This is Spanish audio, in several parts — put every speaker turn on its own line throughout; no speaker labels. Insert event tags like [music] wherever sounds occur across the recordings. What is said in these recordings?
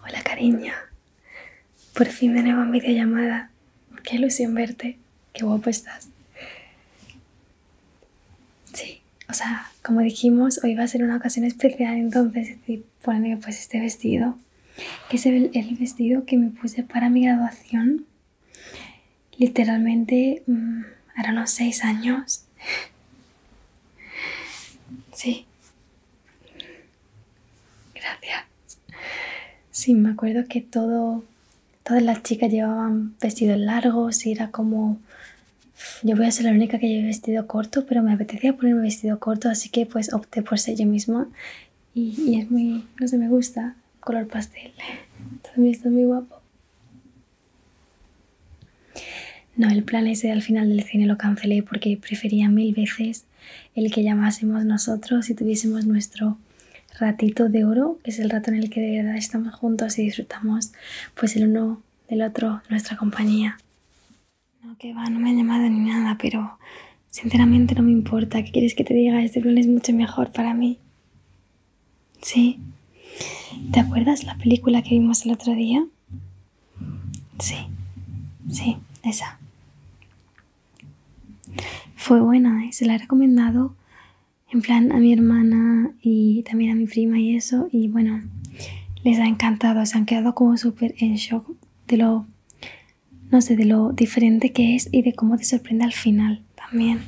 Hola cariño, por fin de nuevo en videollamada. Qué ilusión verte, qué guapo estás. Sí, o sea, como dijimos, hoy va a ser una ocasión especial, entonces estoy poniendo pues este vestido, que es el vestido que me puse para mi graduación Literalmente, eran mm, los seis años. sí. Gracias. Sí, me acuerdo que todas las chicas llevaban vestidos largos y era como... Yo voy a ser la única que lleve vestido corto, pero me apetecía ponerme vestido corto, así que pues opté por ser yo misma y es muy, no sé, me gusta color pastel. También está muy guapo. No, el plan ese al final del cine lo cancelé porque prefería mil veces el que llamásemos nosotros y tuviésemos nuestro ratito de oro, que es el rato en el que de verdad estamos juntos y disfrutamos pues el uno del otro, nuestra compañía. No, que va, no me han llamado ni nada, pero sinceramente no me importa. ¿Qué quieres que te diga? Este plan es mucho mejor para mí. Sí. ¿Te acuerdas la película que vimos el otro día? Sí, sí, esa. Fue buena, y ¿eh? se la he recomendado en plan a mi hermana y también a mi prima y eso. Y bueno, les ha encantado, se han quedado como super en shock de lo, no sé, de lo diferente que es y de cómo te sorprende al final también.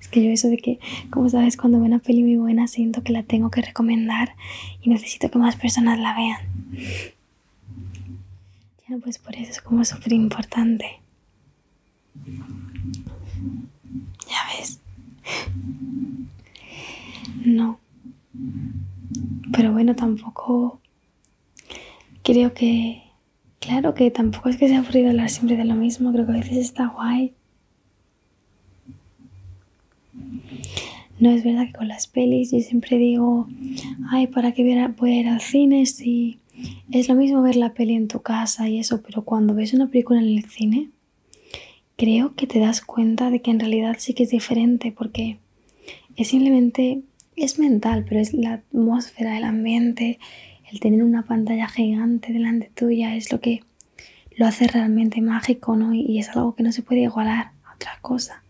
Es que yo eso de que, como sabes, cuando veo una peli muy buena siento que la tengo que recomendar y necesito que más personas la vean. Ya, pues por eso es como súper importante. Ya ves. No. Pero bueno, tampoco creo que Claro que tampoco es que se ha aburrido hablar siempre de lo mismo, creo que a veces está guay. No es verdad que con las pelis yo siempre digo, ay, ¿para qué voy a ir al cine si es lo mismo ver la peli en tu casa y eso? Pero cuando ves una película en el cine, creo que te das cuenta de que en realidad sí que es diferente porque es simplemente, es mental, pero es la la atmósfera, el ambiente, el tener una pantalla gigante delante tuya es lo que lo hace realmente mágico, ¿no? Y es algo que no se puede igualar a otra cosa.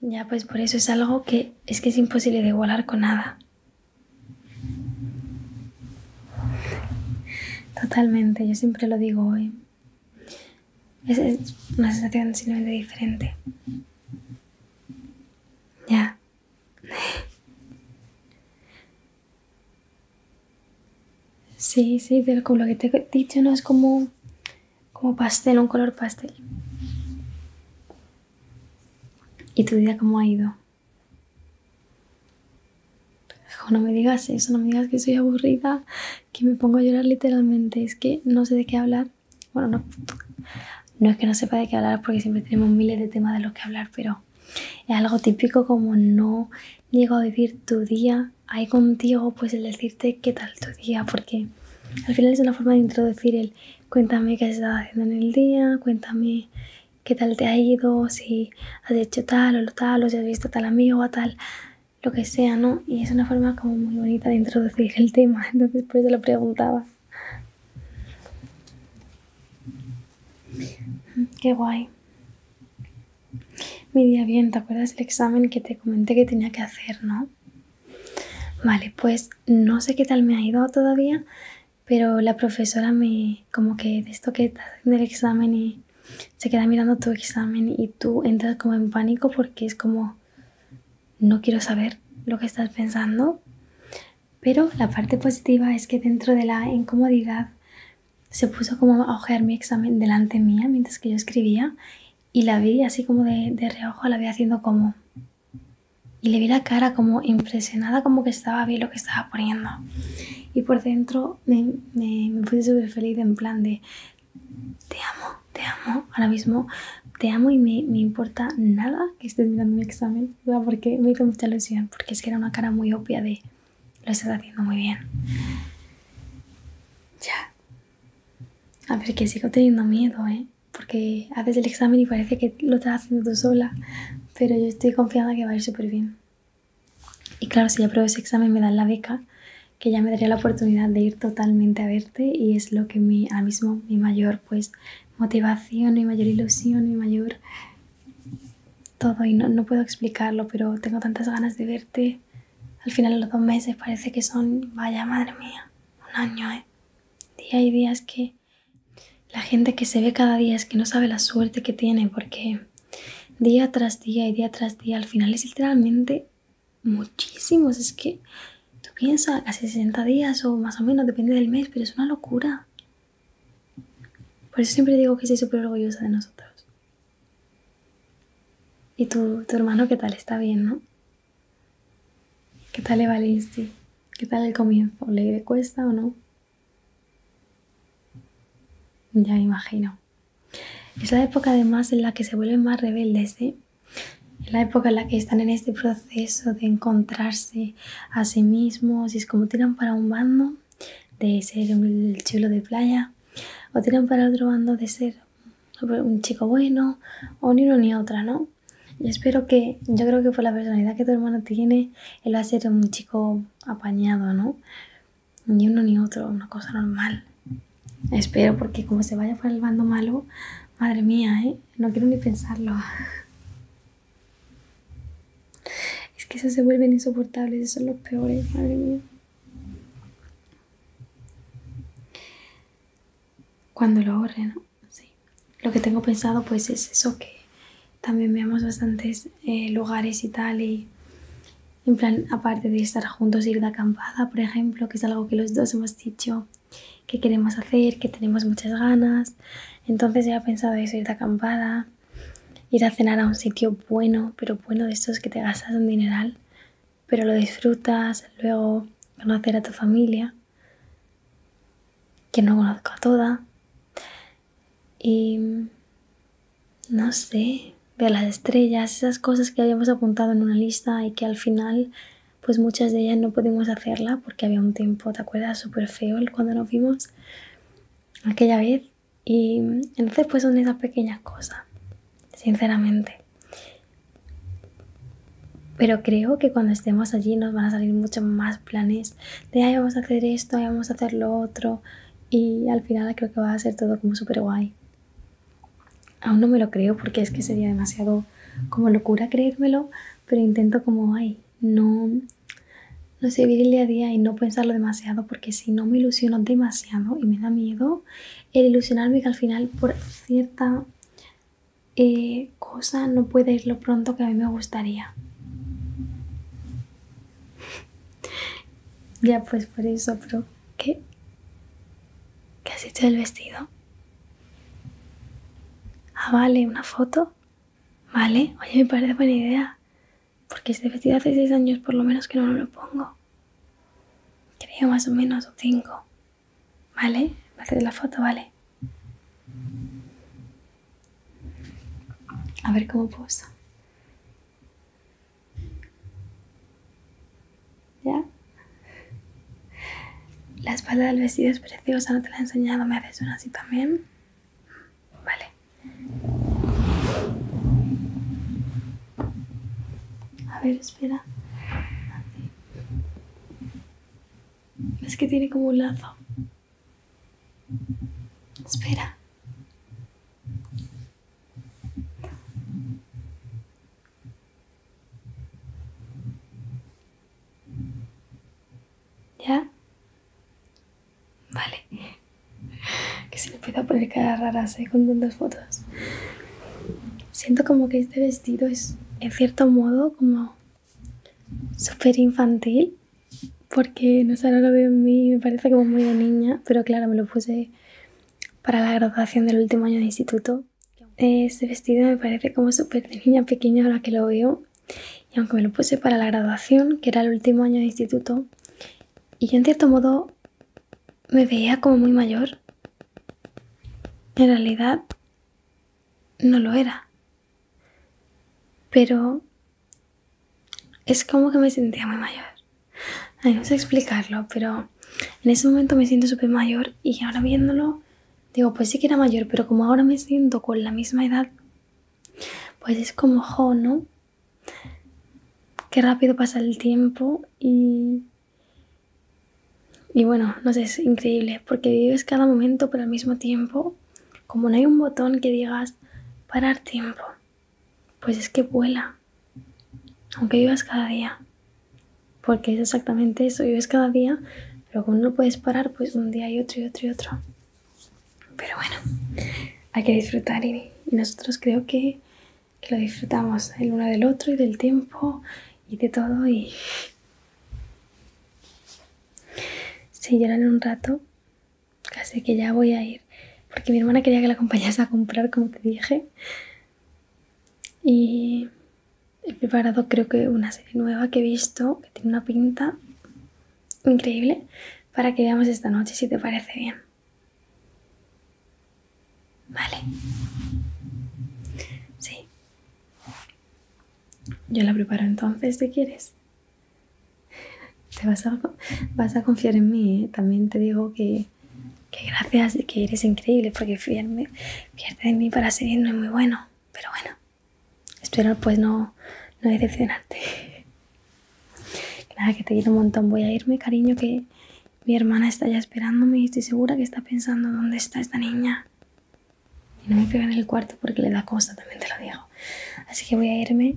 Ya, pues por eso es algo que es que es imposible de igualar con nada. Totalmente, yo siempre lo digo hoy. Es, es una sensación simplemente diferente. Ya, Sí, sí, del lo que te he dicho, ¿no? Es como, como pastel, un color pastel. ¿Y tu día cómo ha ido? no me digas eso, no me digas que soy aburrida, que me pongo a llorar literalmente. Es que no sé de qué hablar. Bueno, no, es que no sepa de qué hablar porque siempre tenemos miles de temas de los que hablar, pero es algo típico como no llego a decir tu día ahí contigo, pues el decirte qué tal tu día, porque al final es una forma de introducir el cuéntame qué has estado haciendo en el día, cuéntame qué tal te ha ido, si has hecho tal o lo tal, o si has visto tal amigo, o tal, lo que sea, ¿no? Y es una forma como muy bonita de introducir el tema, [laughs] entonces por eso lo preguntaba. Qué guay. Mi día bien, ¿te acuerdas el examen que te comenté que tenía que hacer, no? Vale, pues no sé qué tal me ha ido todavía, pero la profesora me como que de esto el examen y se queda mirando tu examen y tú entras como en pánico porque es como no quiero saber lo que estás pensando pero la parte positiva es que dentro de la incomodidad se puso como a ojear mi examen delante mía mientras que yo escribía y la vi así como de, reojo, la vi haciendo como... Y le vi la cara como impresionada, como que estaba bien lo que estaba poniendo. Y por dentro me, me, puse súper feliz en plan de, te amo, te amo, ahora mismo te amo y me, me importa nada que estés mirando mi examen no, porque me hizo mucha ilusión, porque es que era una cara muy obvia de lo estás haciendo muy bien. Ya. A ver, que sigo teniendo miedo, ¿eh? Porque haces el examen y parece que lo estás haciendo tú sola, pero yo estoy confiada que va a ir súper bien. Y claro, si ya apruebo ese examen me dan la beca, que ya me daría la oportunidad de ir totalmente a verte y es lo que mi, ahora mismo mi mayor pues motivación, y mayor ilusión, y mayor todo y no, puedo explicarlo, pero tengo tantas ganas de verte. Al final los dos meses parece que son, vaya madre mía, un año, ¿eh? día Y día es que la gente que se ve cada día es que no sabe la suerte que tiene porque día tras día y día tras día al final es literalmente muchísimos, es que Tú piensas casi 60 días o más o menos, depende del mes, pero es una locura. Por eso siempre digo que soy súper orgullosa de nosotros. ¿Y tu, hermano qué tal? Está bien, ¿no? ¿Qué tal Evalisti? ¿Qué tal el comienzo? ¿Le cuesta o no? Ya me imagino. Es la época además en la que se vuelven más rebeldes, ¿eh? en la época en la que están en este proceso de encontrarse a sí mismos si es como tiran para un bando de ser un chulo de playa o tiran para otro bando de ser un chico bueno o ni uno ni otra, ¿no? Yo espero que, yo creo que por la personalidad que tu hermano tiene, él va a ser un chico apañado, ¿no? Ni uno ni otro, una cosa normal. Espero, porque como se vaya para el bando malo, madre mía, ¿eh? No quiero ni pensarlo. Es que eso se vuelven insoportables, esos son los peores, eh, madre mía. Cuando lo ahorren, Sí. Lo que tengo pensado pues es eso, que también vemos bastantes eh, lugares y tal y... En plan, aparte de estar juntos, ir de acampada, por ejemplo, que es algo que los dos hemos dicho que queremos hacer, que tenemos muchas ganas. Entonces ya he pensado eso, ir a acampada, ir a cenar a un sitio bueno, pero bueno de estos que te gastas un dineral, pero lo disfrutas, luego conocer a tu familia, que no conozco a toda. Y no sé, ver las estrellas, esas cosas que habíamos apuntado en una lista y que al final pues muchas de ellas no pudimos hacerla porque había un tiempo, ¿te acuerdas? Súper feo cuando nos vimos aquella vez. Y entonces pues son esas pequeñas cosas, sinceramente. Pero creo que cuando estemos allí nos van a salir muchos más planes de, ahí vamos a hacer esto, ahí vamos a hacer lo otro. Y al final creo que va a ser todo como súper guay. Aún no me lo creo porque es que sería demasiado como locura creérmelo, pero intento como, ay, no, no vivir el día a día y no pensarlo demasiado, porque si no me ilusiono demasiado y me da miedo el ilusionarme que al final por cierta eh, cosa no puede ir lo pronto que a mí me gustaría. ya pues por eso, pero ¿qué? ¿Qué has hecho del vestido? Ah, vale, una foto. Vale, oye, me parece buena idea. Porque este vestido hace seis años por lo menos que no me lo pongo. Creo más o menos, lo tengo. Vale, me haces la foto, vale. A ver cómo puedo. ¿Ya? La espalda del vestido es preciosa, no te la he enseñado. ¿Me haces una así también? Vale. A ver, espera. Así. Es que tiene como un lazo. Espera. ¿Ya? Vale. [laughs] Que se le pueda poner cada rara, ¿eh? con tantas fotos. Siento como que este vestido es, en cierto modo, como súper infantil. Porque no sé, ahora lo veo en mí, me parece como muy de niña. Pero claro, me lo puse para la graduación del último año de instituto. Este vestido me parece como súper de niña pequeña ahora que lo veo. Y aunque me lo puse para la graduación, que era el último año de instituto, y yo en cierto modo me veía como muy mayor. En realidad no lo era. Pero es como que me sentía muy mayor. no sé explicarlo, pero en ese momento me siento súper mayor y ahora viéndolo Digo, pues sí que era mayor, pero como ahora me siento con la misma edad, pues es como, jo, ¿no? Qué rápido pasa el tiempo y... Y bueno, no sé, es increíble, porque vives cada momento, pero al mismo tiempo, como no hay un botón que digas parar tiempo, pues es que vuela, aunque vivas cada día porque es exactamente eso, vives cada día, pero uno no puedes parar, pues un día hay otro y otro y otro. Pero bueno, hay que disfrutar y, nosotros creo que, lo disfrutamos el uno del otro y del tiempo y de todo y... Si lloran un rato, casi que ya voy a ir, porque mi hermana quería que la acompañase a comprar, como te dije. Y He preparado creo que una serie nueva que he visto, que tiene una pinta increíble, para que veamos esta noche si te parece bien. Vale. Sí. Yo la preparo entonces, [laughs] ¿te quieres. Te vas a, confiar en mí, también te digo que, que gracias, que eres increíble, porque fiarme, fiarte de mí para seguir es muy bueno pero bueno, espero pues no, no decepcionarte. Nada, que te quiero un montón. Voy a irme, cariño, que mi hermana está ya esperándome y estoy segura que está pensando dónde está esta niña. Y no me pega en el cuarto porque le da cosa, también te lo digo. Así que voy a irme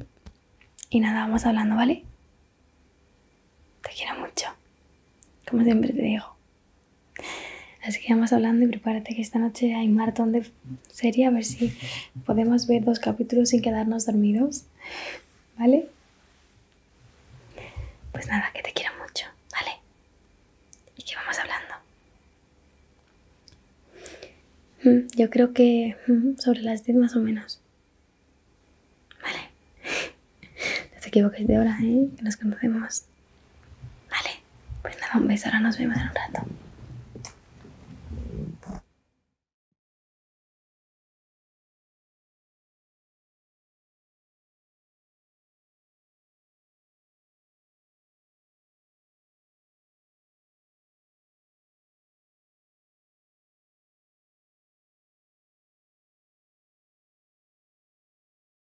y nada, vamos hablando, ¿vale? Te quiero mucho. Como siempre te digo. Así que vamos hablando y prepárate que esta noche hay maratón de serie a ver si podemos ver dos capítulos sin quedarnos dormidos. ¿Vale? Pues nada, que te quiero mucho, ¿vale? Y qué vamos hablando. Mm, yo creo que mm, sobre las 10 más o menos. Vale. [laughs] No te equivoques de hora, ¿eh? Que nos conocemos. Vale, pues nada, un beso, ahora nos vemos en un rato.